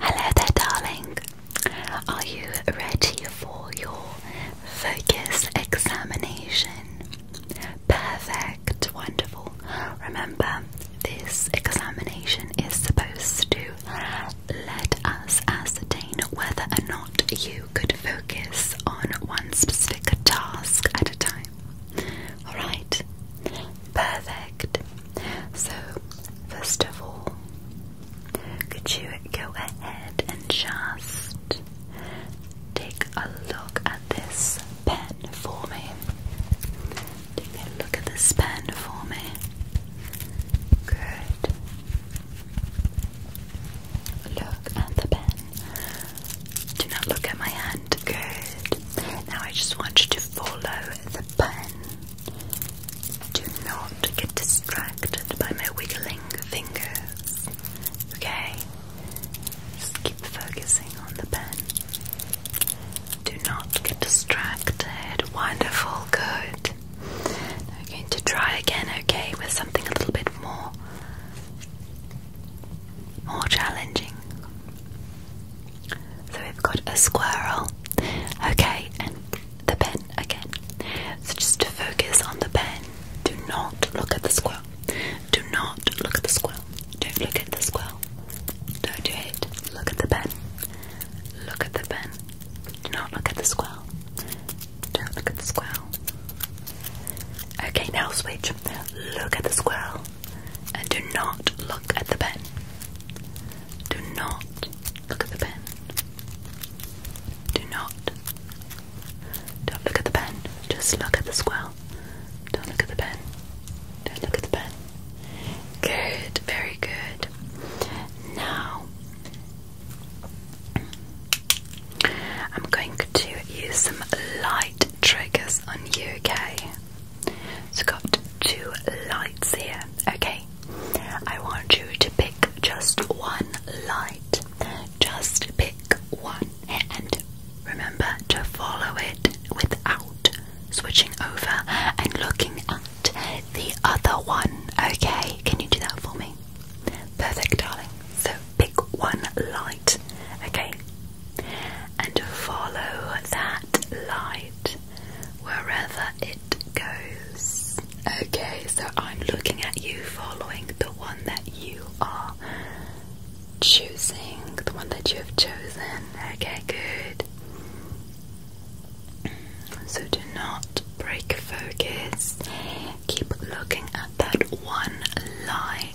Hello there, darling. Are you ready for your focus examination? Perfect, wonderful. Remember, this examination is supposed to let us ascertain whether or not you could focus on one specific task at a time. Alright, perfect. So, first of all, could you go ahead and just take a look at this pen for me? Take a look at this pen for me. Good. Look at the pen. Do not look at my hand. Good. Now I just want you to follow the pen. Do not get distracted by my wiggling fingers. Okay? Just keep focusing on the pen. Do not get distracted. Wonderful, good. Now we're going to try again, okay, with something a little bit more more challenging. So we've got a squirrel. Okay, and the pen again. So just focus on the pen. Do not look at the squirrel. Do not look at the squirrel. Don't look at the squirrel. Don't do it. Look at the pen. Look at the pen. Do not look at the squirrel. Don't look at the squirrel. Okay, now switch. Look at the squirrel and do not look at the pen. Do not look at the pen. Do not. Don't look at the pen. Just look at the square. Don't look at the pen. Don't look at the pen. Good, very good. Now, I'm going to use some light triggers on you, okay? It's got two lights here. Okay, I want you to pick just one light. Just pick one, and remember to follow it without switching over and looking at the other one. Okay, can you do that for me? Perfect, darling. So pick one light. Okay, and follow that light wherever it goes. Okay, so I'm looking at you following the one that you are choosing, the one that you have chosen. Okay, good. So do not break focus, keep looking at that one light.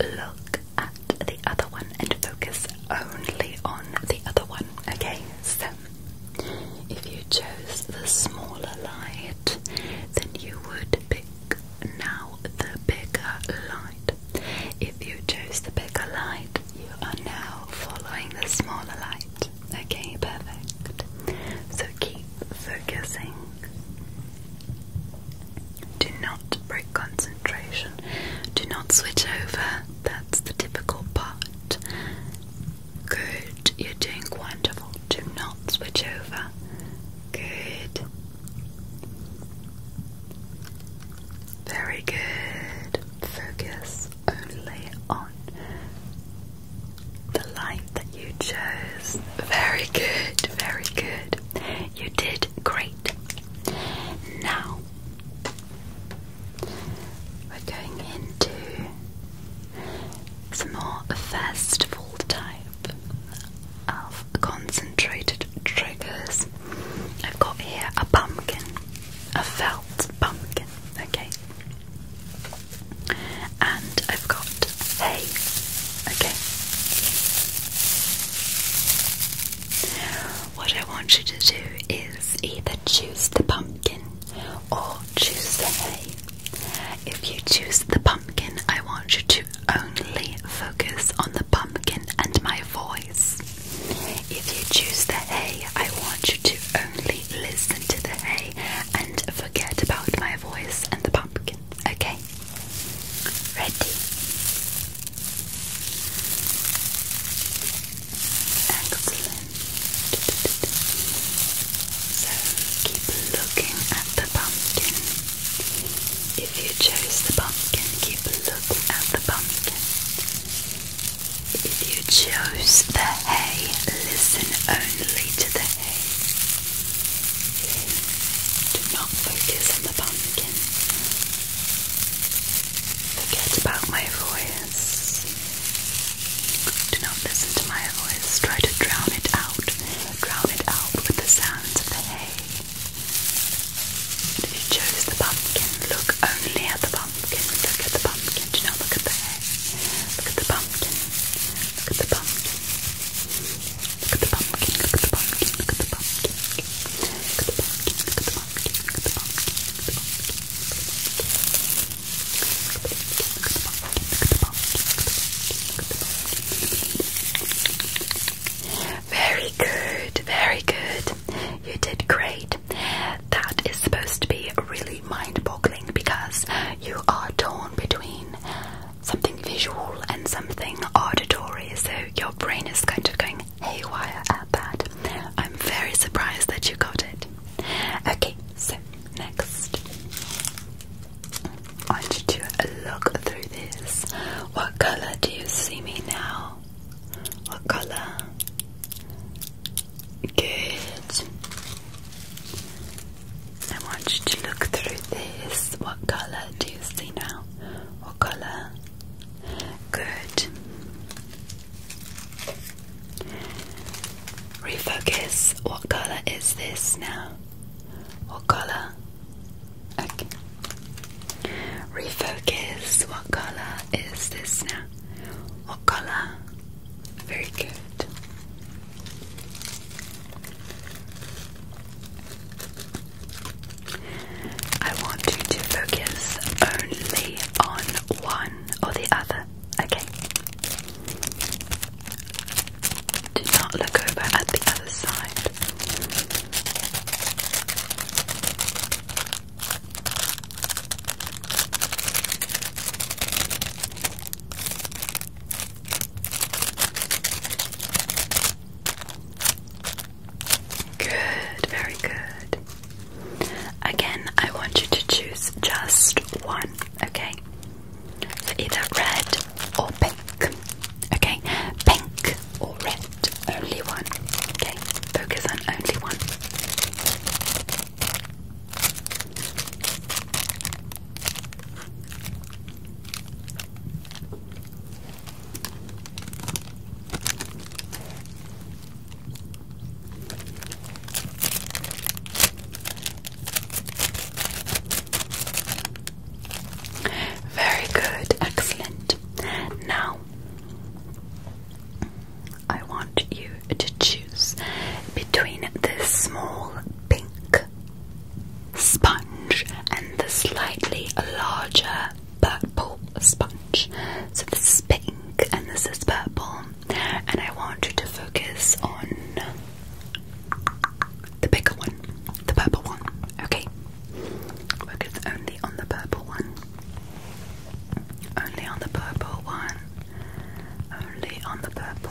look at the other one and focus only on the other one. Okay, so if you chose the smaller light, then you would pick now the bigger light. If you chose the bigger light, you are now following the smaller light. Okay, perfect. So keep focusing. Do not break concentration. Do not switch over. That's the difficult part. Good. You're doing wonderful. Do not switch over. Good. Very good. Focus only on the light that you chose. Very good. Very good. You did great. Now we're going into some more festival type of concentrated triggers. I've got here a pumpkin, a felt pumpkin, okay. And I've got hay, okay. What I want you to do is either choose the pumpkin or choose the hay. If you choose the pumpkin, I want you to only focus on the pumpkin and my voice. If you choose the hay, I want you to only listen to the hay and forget about my voice and the pumpkin. Okay? ready excellent so keep looking at the pumpkin if you chose the pumpkin keep looking at the pumpkin if you chose the hay listen only to the hay do not focus on the pumpkin Forget about my voice. Do not listen to my voice. Try to drown it out. Drown it out with the sounds of the hay. If you chose the pumpkin, look only at the pumpkin. Look at the pumpkin. Do not look at the hay. Look at the pumpkin. Look at the pumpkin. Very good, very good. You did great. That is supposed to be really mind boggling because you are torn between something visual and something auditory, so your brain is kind of going haywire at that. I'm very surprised that you got it. Okay, so next, I want you to look through this. What color do you see me now? What color? Good. I want you to look through this. What color do you see now? What colour? Good. Refocus. What colour is this now? What colour? Okay. Refocus. What colour is this now? What colour? Very good. I want you to focus only on one or the other, okay? Do not look over at the other side. Good, very good. Again, I want you to choose just one, okay? So either red or pink, okay? Pink or red, only one, okay? Focus on only one. Very good, excellent. Now, I want you to choose between this small pink sponge and the slightly larger purple sponge. So this is pink and this is purple, and I want you to focus on the bigger one, the purple one. Okay, focus only on the purple one, only on the purple one, only on the purple.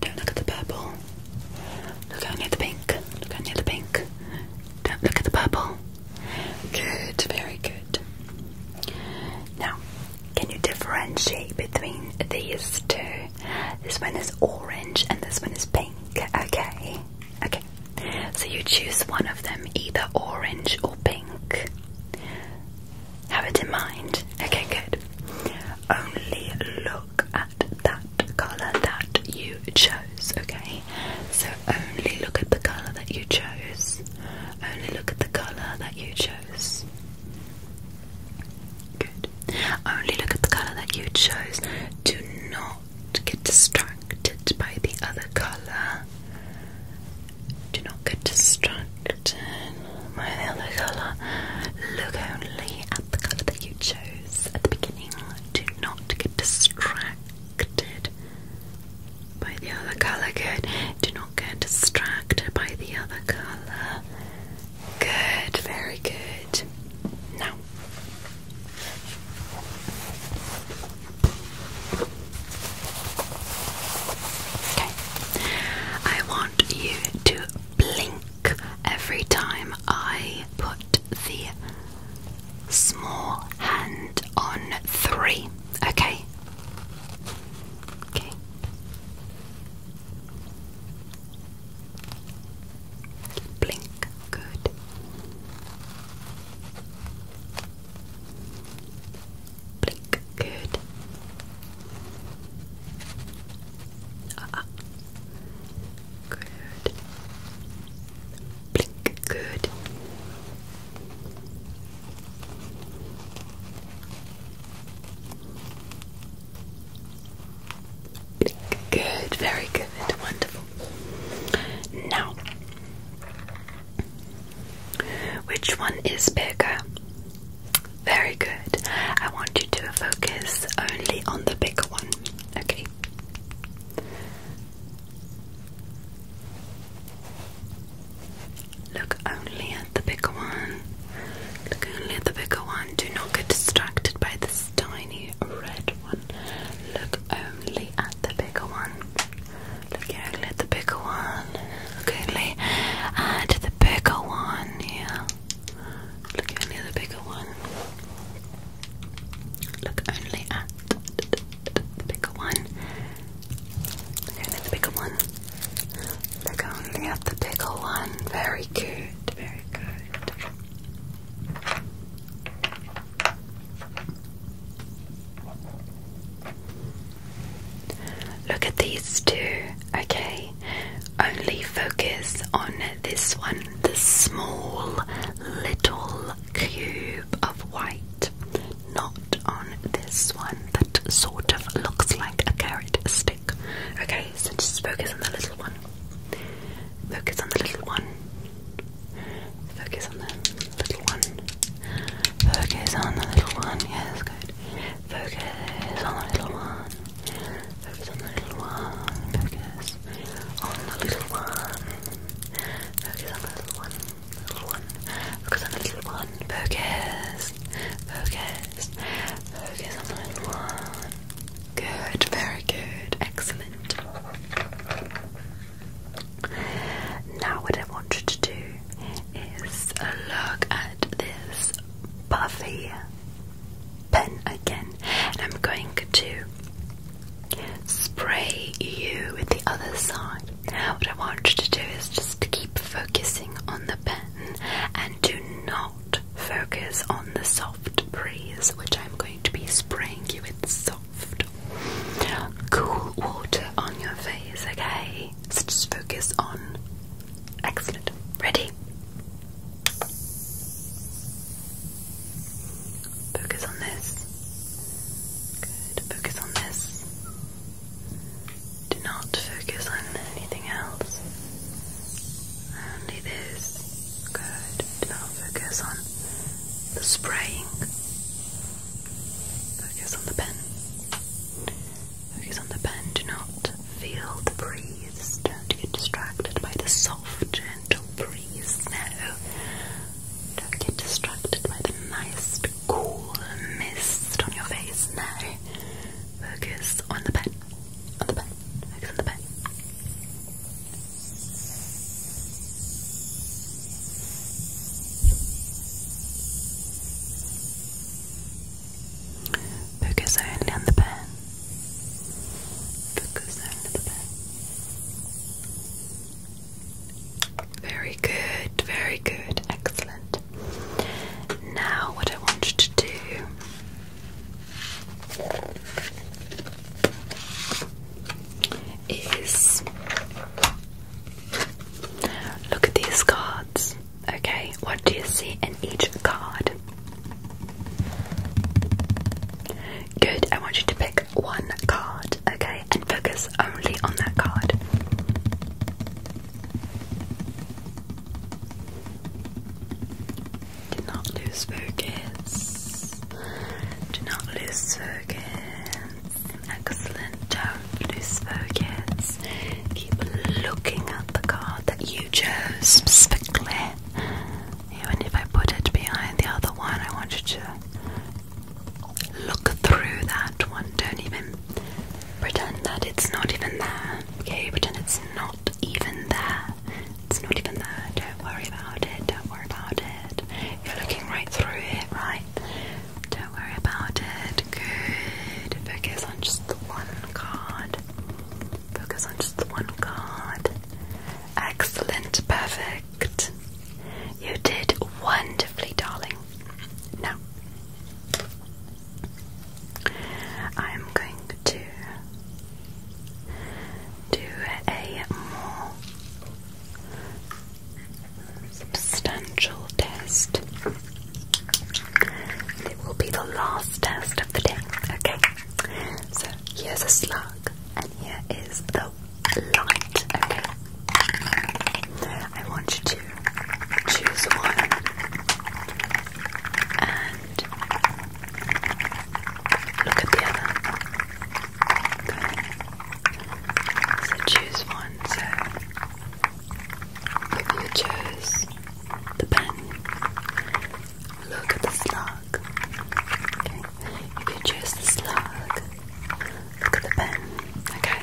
Don't look at the purple. Look only at the pink. Look only at the pink. Don't look at the purple. Good, very good. Now, can you differentiate between these two? This one is orange and this one is pink. Okay, okay. So you choose one of them, either orange or pink. Have it in mind. Okay, good. Only look at that colour that you chose, okay? So only look at the colour that you chose. Only look at the colour that you chose. Good. Only look at the colour that you chose. Do not get distracted by the other colour. Do not get distracted my other colour. Look only at the colour that you chose at the beginning. Do not get distracted by the other colour. Good. Do not get distracted by the other colour. Good. Very good. Now. Okay. I want you to blink every time I put the small hand on three. Okay. Okay. Blink. Good blink, good. Ah, ah, Good. Blink, good. Blink, good. Very good. Wonderful. Now, which one is bigger? Very good. I want you to focus only on the bigger one, okay? Look only at the bigger one. Look only at the bigger one. Do not get distracted by this tiny red one. Look only at the bigger one. Look only at the bigger one coolly. And Look at only the bigger one. Look only at the bigger one. Look only at the bigger one. Look only at the bigger one. Very good, very good. Look at these two, okay? Only focus on this one, the small little cube of white, not on this one that sort of looks like a carrot stick. Okay, so just focus on the little one. Focus on the little one. Focus on the little one. Focus on the little one. Yes, good. Focus on the little one. Focus on the little one. Focus on the little one. Focus on the little one. Little one. Focus on the little one. Focus. Focus. Focus on the little one. Good. Very good. Excellent. Now what I want you to do is look at this puffy pen again, and I'm going to spray you with the other side. What I want you to do is just keep focusing on the pen and do not focus on the soft breeze, which I'm going to be spraying you with soft, cool water on your face, okay? okay, let's just focus on. Excellent. Ready? Focus on this. Good. Focus on this. Do not focus on anything else. Only this. Good. Do not focus on the spraying. Focus on the pen. Focus on the pen, do not feel the breeze, don't get distracted by the soft, gentle breeze, no. Don't get distracted by the nice, cool mist on your face, no. Focus on the pen, on the pen, focus on the pen. Focus only on the pen. Focus only on the pen. Very good, very good, excellent. Now, what I want you to do is Look at these cards. Okay, what do you see in each card? Good, I want you to pick one card, okay, and focus only on that card. Do not lose focus. Do not lose focus. Excellent. Don't lose focus. Keep looking at the card that you chose specifically. Even if I put it behind the other one, I want you to look through that one. Don't even pretend that it's not even there. Okay, pretend it's not even there. It's not even there. Don't worry about it. Don't worry about it. You're looking right through it, right? Don't worry about it. Good. Focus on just one card. Focus on just one card. Excellent. Perfect. You did wonderfully, darling. Now, I'm going to do a more substantial test. And it will be the last test of the day, okay? So here's a slug, and here is the light, okay? I want you to choose one and look at the other. So choose one. So if you chose the pen, look at the slug. Okay. If you chose the slug, look at the pen. Okay.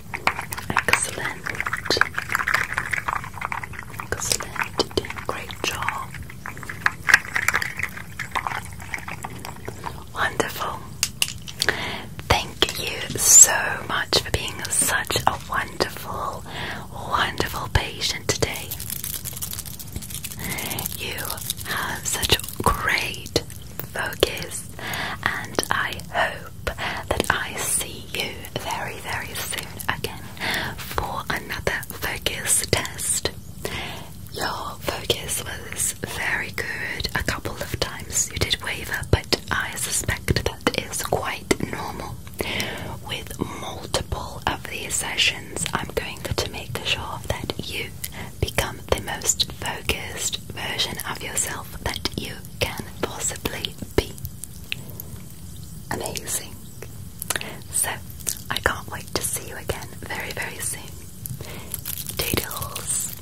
Excellent. Excellent. great job. Wonderful. Thank you so much for being such a wonderful, wonderful patient today. You have such great focus, and I hope that I see you very, very soon again for another focus test. Your focus was very good a couple of times, you did waver, but I suspect that is quite normal. With multiple of these sessions, I'm going to make sure that you become the most focused version of yourself that you can possibly be. Amazing. So, I can't wait to see you again very, very soon. Doodles.